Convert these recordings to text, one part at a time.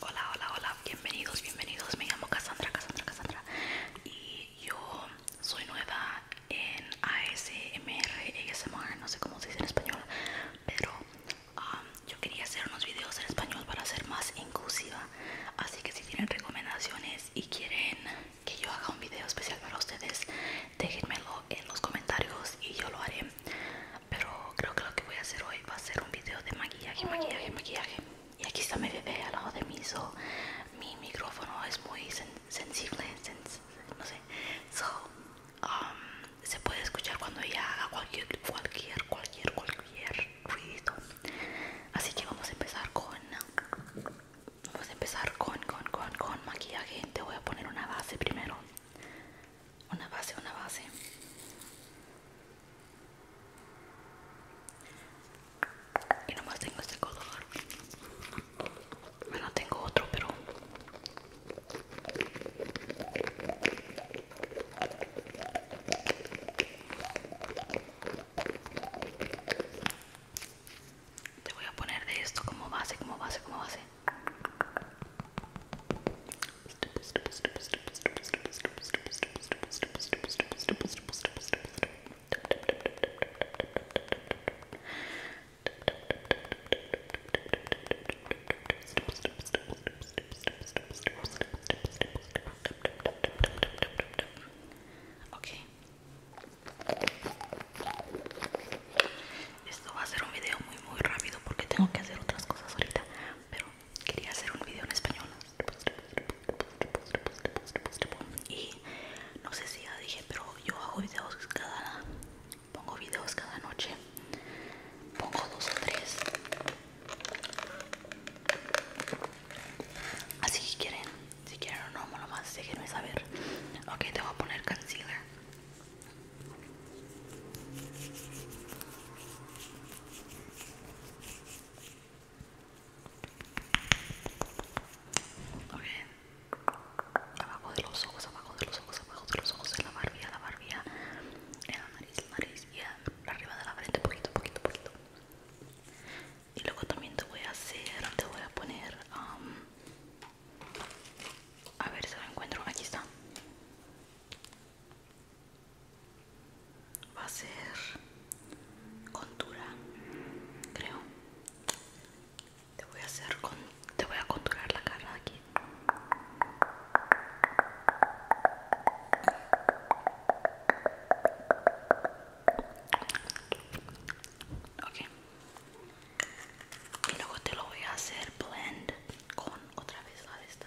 Hola, hola, hola, bienvenidos, bienvenidos. Me llamo Cassandra, Cassandra, Cassandra. Y yo soy nueva en ASMR, ASMR, no sé cómo se dice en español, pero um, yo quería hacer unos videos en español para ser más inclusiva. Así que si tienen recomendaciones y quieren que yo haga un video especial para ustedes, déjenmelo en los comentarios y yo lo haré. Pero creo que lo que voy a hacer hoy va a ser un video de maquillaje, maquillaje, maquillaje. Y aquí está mi bebé al lado de mí. mi micrófono es muy sensible, no sé. Um, se puede escuchar cuando ella haga cualquier, cualquier, cualquier, ruido. Así que vamos a empezar con, vamos a empezar con, con, con, con maquillaje. Te voy a poner una base primero una base, una base. Y nomás tengo este color. Bueno, tengo otro, pero... Te voy a poner de esto como base, como base, como base. Okay. Esto va a ser un video muy muy rápido porque tengo que hacer otras cosas ahorita, pero quería hacer un video en español y no sé si ya dije pero yo hago videos cada pongo videos cada noche pongo dos o tres así que quieren si quieren o no nomás déjenme saber ok te voy a poner concealer Okay, Abajo de los ojos, abajo de los ojos, abajo de los ojos, en la barbilla, la barbilla, en la nariz, la nariz y arriba de la frente, poquito, poquito, poquito. Y luego también te voy a hacer, te voy a poner, um, a ver si lo encuentro, aquí está va a ser contura creo te voy a hacer con te voy a conturar la cara aquí ok y luego te lo voy a hacer blend con otra vez la de esta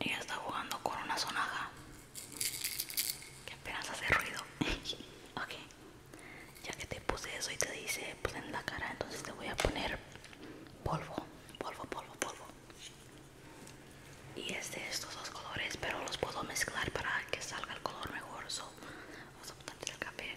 Y está jugando con una sonaja que apenas hace ruido. ok, ya que te puse eso y te dice pues, en la cara, entonces te voy a poner polvo, polvo, polvo, polvo. Y es de estos dos colores, pero los puedo mezclar para que salga el color mejor. o vamos a el café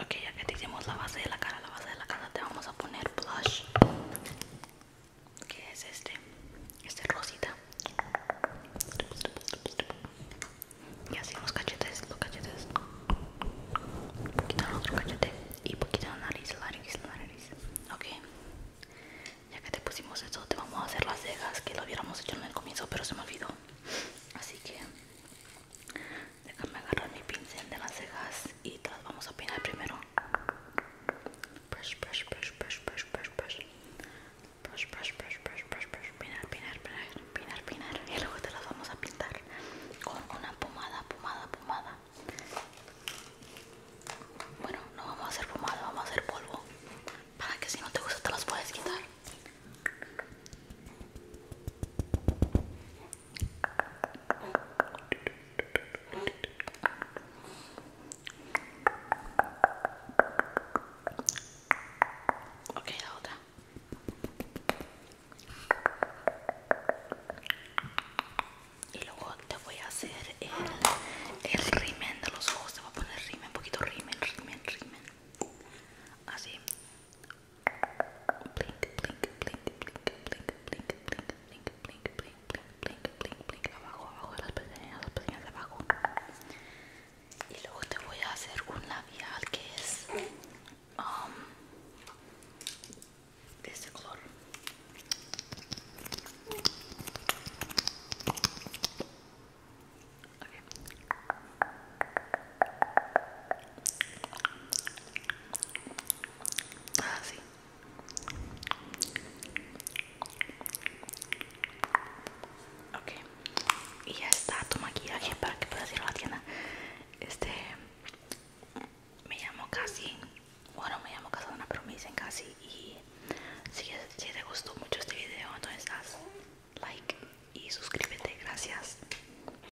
Ok, ya que te hicimos la base de la cara, la base de la cara te vamos a poner blush. Que es este, este rosita. Y así los cachetes, los cachetes. Un poquito en otro cachete y poquito pues en la nariz, la nariz, la nariz. Ok. Ya que te pusimos eso, te vamos a hacer las cejas que lo hubiéramos hecho en el comienzo, pero se me olvidó. Así que Déjame agarrar mi pincel de las cejas y te las vamos a peinar primero. push push push push push push push push push push push brush, brush. Pinar, pinar, pinar, pinar, pinar. Y luego te las vamos a pintar con una pomada, pomada, pomada. Bueno, no vamos a hacer pomada, vamos a hacer polvo. Para que si no te gusta te las puedes quitar. Ok, la Y luego te voy a hacer el, el rimen de los ojos. Te voy a poner rimen, un poquito rimen, rimen, rimen. Así blink, blink, blink, blink, blink, blink, blink, blink, blink, blink, blink, blink, blink, abajo, abajo de las abajo. Y luego te voy a hacer un labial que es de este color. Así. Y ya está tu maquillaje para que puedas ir a la tienda. Este. Me llamo Casi. Bueno, me llamo Casadona, pero me dicen Casi. Y si, si te gustó mucho este video, entonces haz like y suscríbete. Gracias.